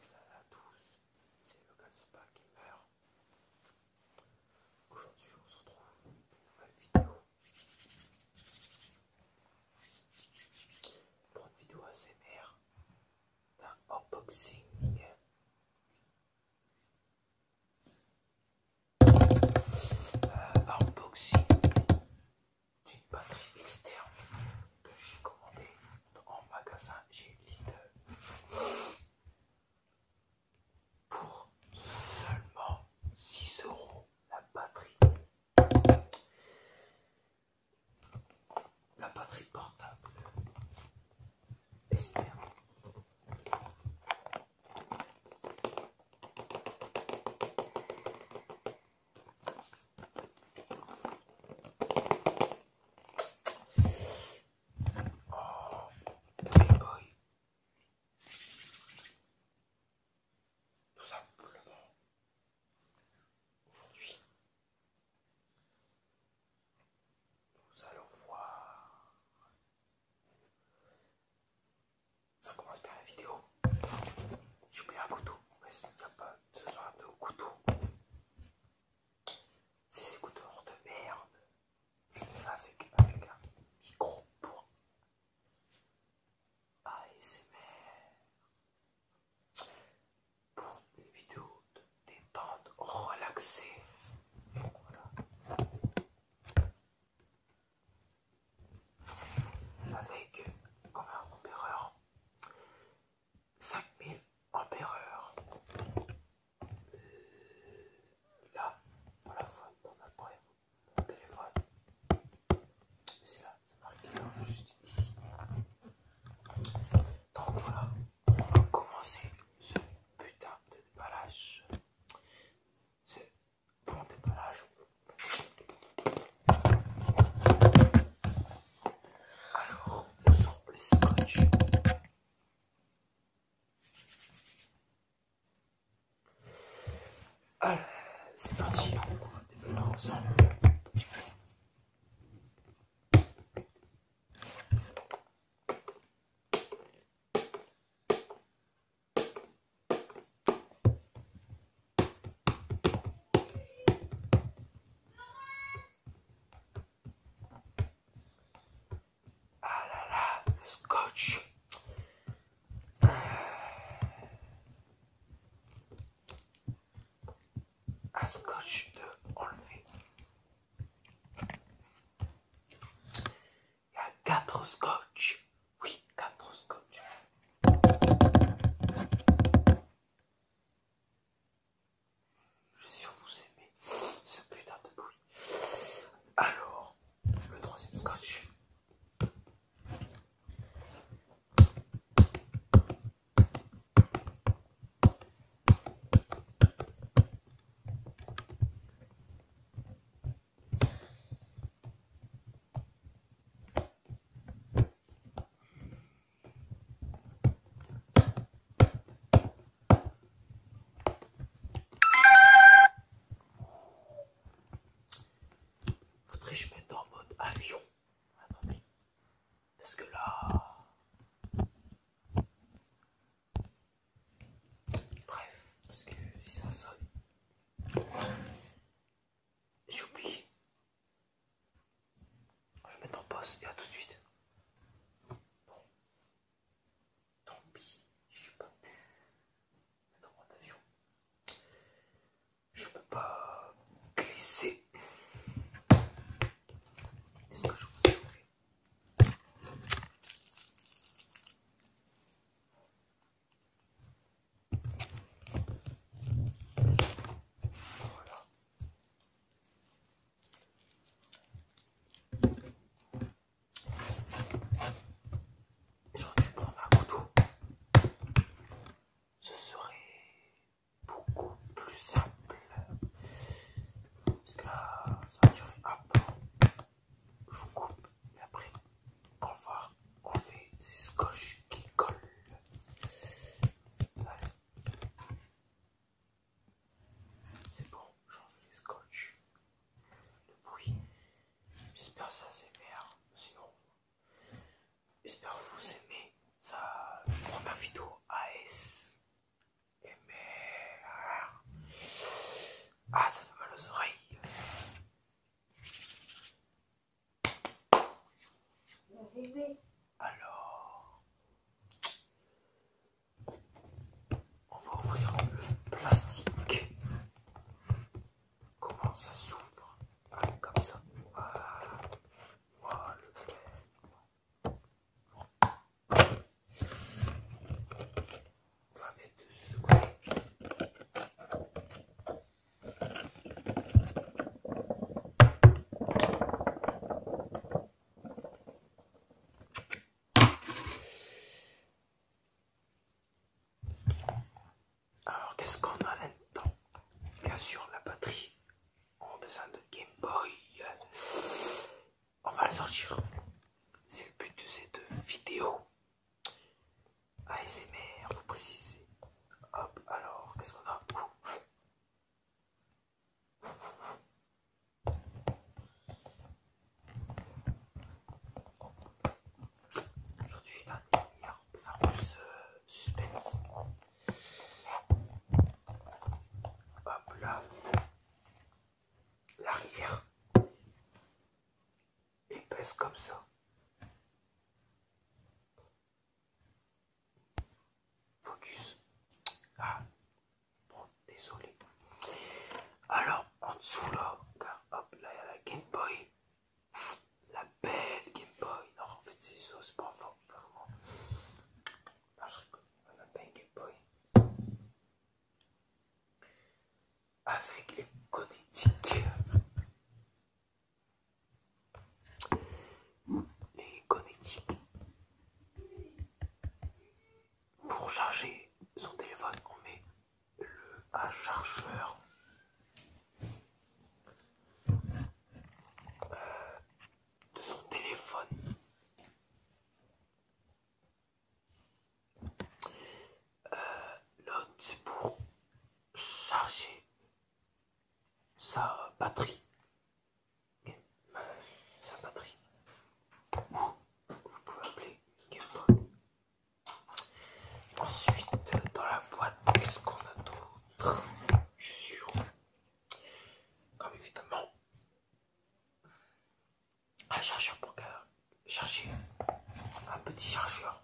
Salut à tous, c'est le de Gamer Aujourd'hui, on se retrouve pour une nouvelle vidéo. Pour une vidéo ASMR d'un unboxing. unboxing une batterie externe que j'ai commandée en magasin chez pour seulement 6 euros la batterie. La batterie portable externe. Oh Tout simplement. Aujourd'hui, nous allons voir. Ça commence par la vidéo. J'ai oublié un couteau, ce sont deux couteaux. C'est ces couteaux de merde. Je fais avec, un micro pour ASMR. Pour une vidéo de détente relaxée avec combien un 5000 ampéreurs. Là, voilà, faut, après, mon téléphone. C'est là, c'est marqué là, juste ici. Donc voilà, on va commencer ce putain de déballage. C'est... Bon déballage. Alors, nous sommes les scotch Allez, c'est parti, on va déballer ensemble. Ah là là, scotch. Un scotch de enlever. Il y a quatre scotch. Oui, quatre scotch. Je suis sûr que vous aimez ce putain de bruit. Alors, le troisième scotch. Faudrait que je mette en mode avion. est Parce que là... Bref, parce que si ça sonne, j'ai oublié. Je vais mettre en poste et à tout de suite. Bon. Tant pis, je peux Je peux pas glisser. Est-ce que je peux ouvrir J'aurais Je prendre un couteau. Ce serait beaucoup plus simple. Parce que ça durait un peu je vous coupe et après au revoir on fait ces scotch qui collent c'est bon j'en fais les scotch le bruit j'espère que ça s'émerveille. sinon j'espère que vous aimez ça première vidéo AS et ah, ça fait mal aux oreilles. Alors, on va ouvrir le plastique. Comment ça s'ouvre Comme ça. Voilà. le alors qu'est-ce qu'on a là Bien sûr la batterie en dessin de Game Boy on va la sortir. C'est le but de cette vidéo. ASMR, vous précisez. Hop, alors, qu'est-ce qu'on a Aujourd'hui, dans les lumières, on peut faire plus euh, suspense. Hop là l'arrière. et pèse comme ça. Focus. Ah, bon, désolé. Alors, en dessous là, car, hop, là, il y a la Game Boy. La belle Game Boy. Non, en fait, c'est ça, c'est pas fort, vraiment. je On a Game Boy avec les Connectiques. Les Connectiques. Pour charger son téléphone, on met le à chargeur. Euh, de son téléphone euh, l'autre, c'est pour charger sa batterie. Sa batterie. Vous pouvez appeler Game Ensuite, dans la boîte, qu'est-ce qu'on a d'autre Je suis sûr. Comme évidemment, un chargeur pour charger un petit chargeur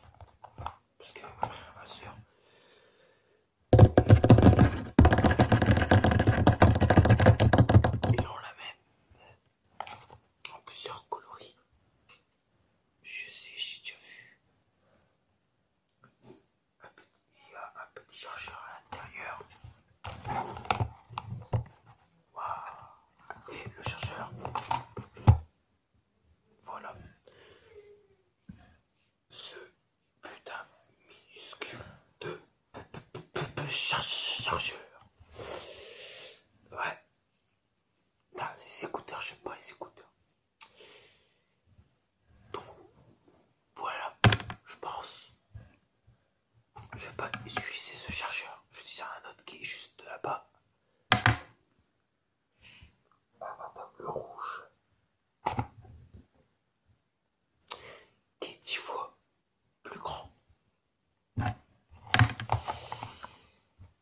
parce que ma soeur ils ont la même euh, en plusieurs coloris je sais j'ai déjà vu il y a un petit chargeur à l'intérieur et le chargeur. Voilà. Ce putain minuscule de chargeur. Ouais. c'est écouteur écouteurs, sais pas les écouteurs. Donc, voilà, je pense je vais pas utiliser ce chargeur, je vais utiliser un autre qui est juste là-bas. Un madame le rouge. Qui est dix fois plus grand.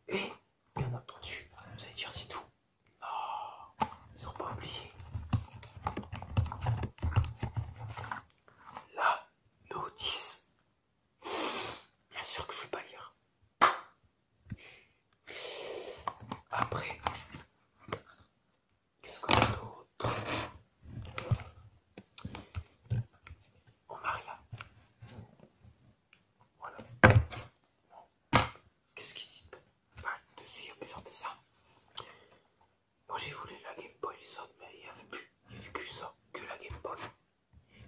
Et bien dessus vous allez dire c'est tout. Non, ah, ils sont pas oubliés. La notice. Bien sûr que je ne vais pas lire. Après, qu'est-ce qu'on a d'autre On Maria Voilà. Qu'est-ce qu'il dit pas si il y a plusieurs dessins. Moi j'ai voulu la Game Boy mais il n'y avait plus, il que ça, que la Game Boy.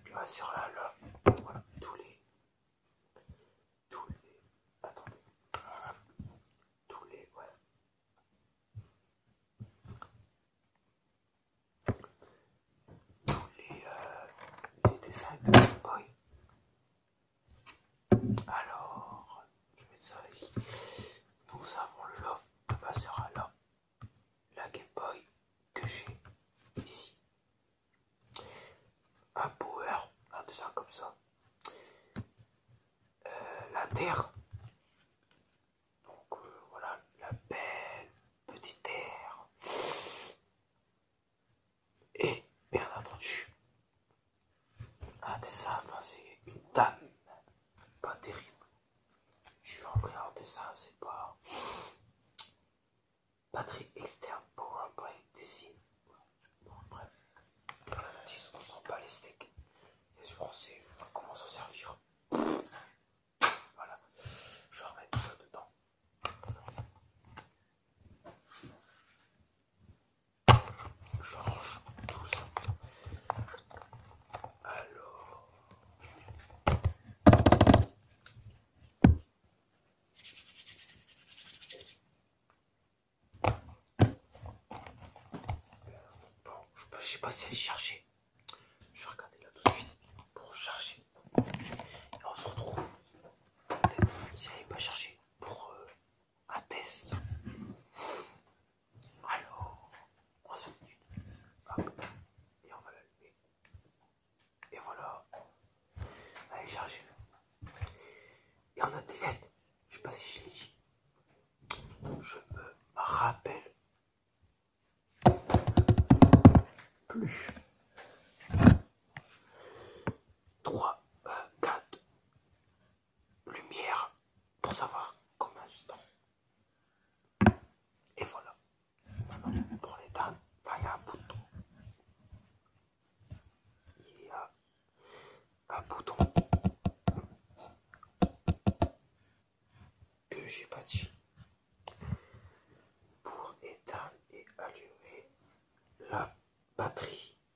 puis sur là, là, voilà, tous les. Tous les. Attendez. Tous les. Ouais. Tous les, euh, les dessins de Game Boy. Alors, je vais ça ici. Nous avons le love de ma là. La Game Boy que j'ai ici. Un power, un ça comme ça. Euh, la terre. Donc euh, voilà, la belle petite terre. Et bien entendu, ah, dessin, enfin, c'est une tanne. Pas terrible. Je vais en vrai un dessin, c'est pas. Batterie externe, pour un powerplay, dessine. Bon, bref. On sent pas les steaks. Les français, comment à servir Voilà. Je remets tout ça dedans. Je range tout ça. Alors. Bon, je ne sais pas si elle est chargée. Je vais regarder là tout de suite pour charger. Et on se retrouve peut-être si elle n'est pas chargée pour euh, Atteste. test. Alors, on se minutes, et on va l'allumer. Et voilà, allez charger. Et on a des lettres, je sais pas si je l'ai dit, je me rappelle plus. 3, 4 lumières pour savoir comment je temps. Et voilà. Maintenant, pour l'éteindre, il y a un bouton. Il y a un bouton que j'ai bâti pour éteindre et allumer la batterie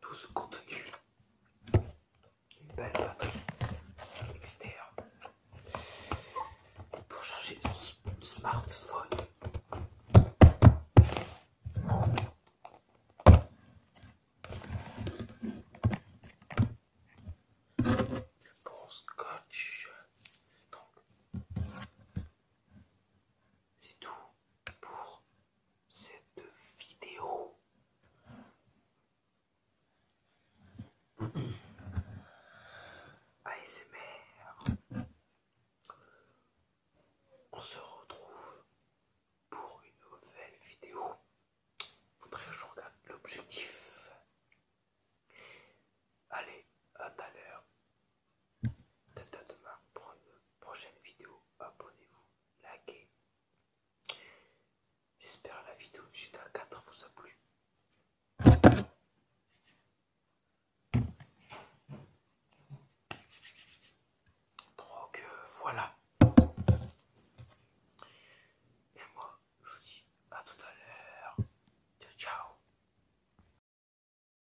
Tout ce contenu, une belle batterie externe pour charger son smartphone. Bon scotch, donc c'est tout pour cette vidéo. ASMR. On se retrouve pour une nouvelle vidéo. Faudrait que je regarde l'objectif. Allez, à tout à l'heure. Tata demain, pour une prochaine vidéo. Abonnez-vous, likez. J'espère la vidéo du GTA 4 vous a plu. Donc euh, voilà. Et moi, je vous dis à tout à l'heure. Ciao, ciao.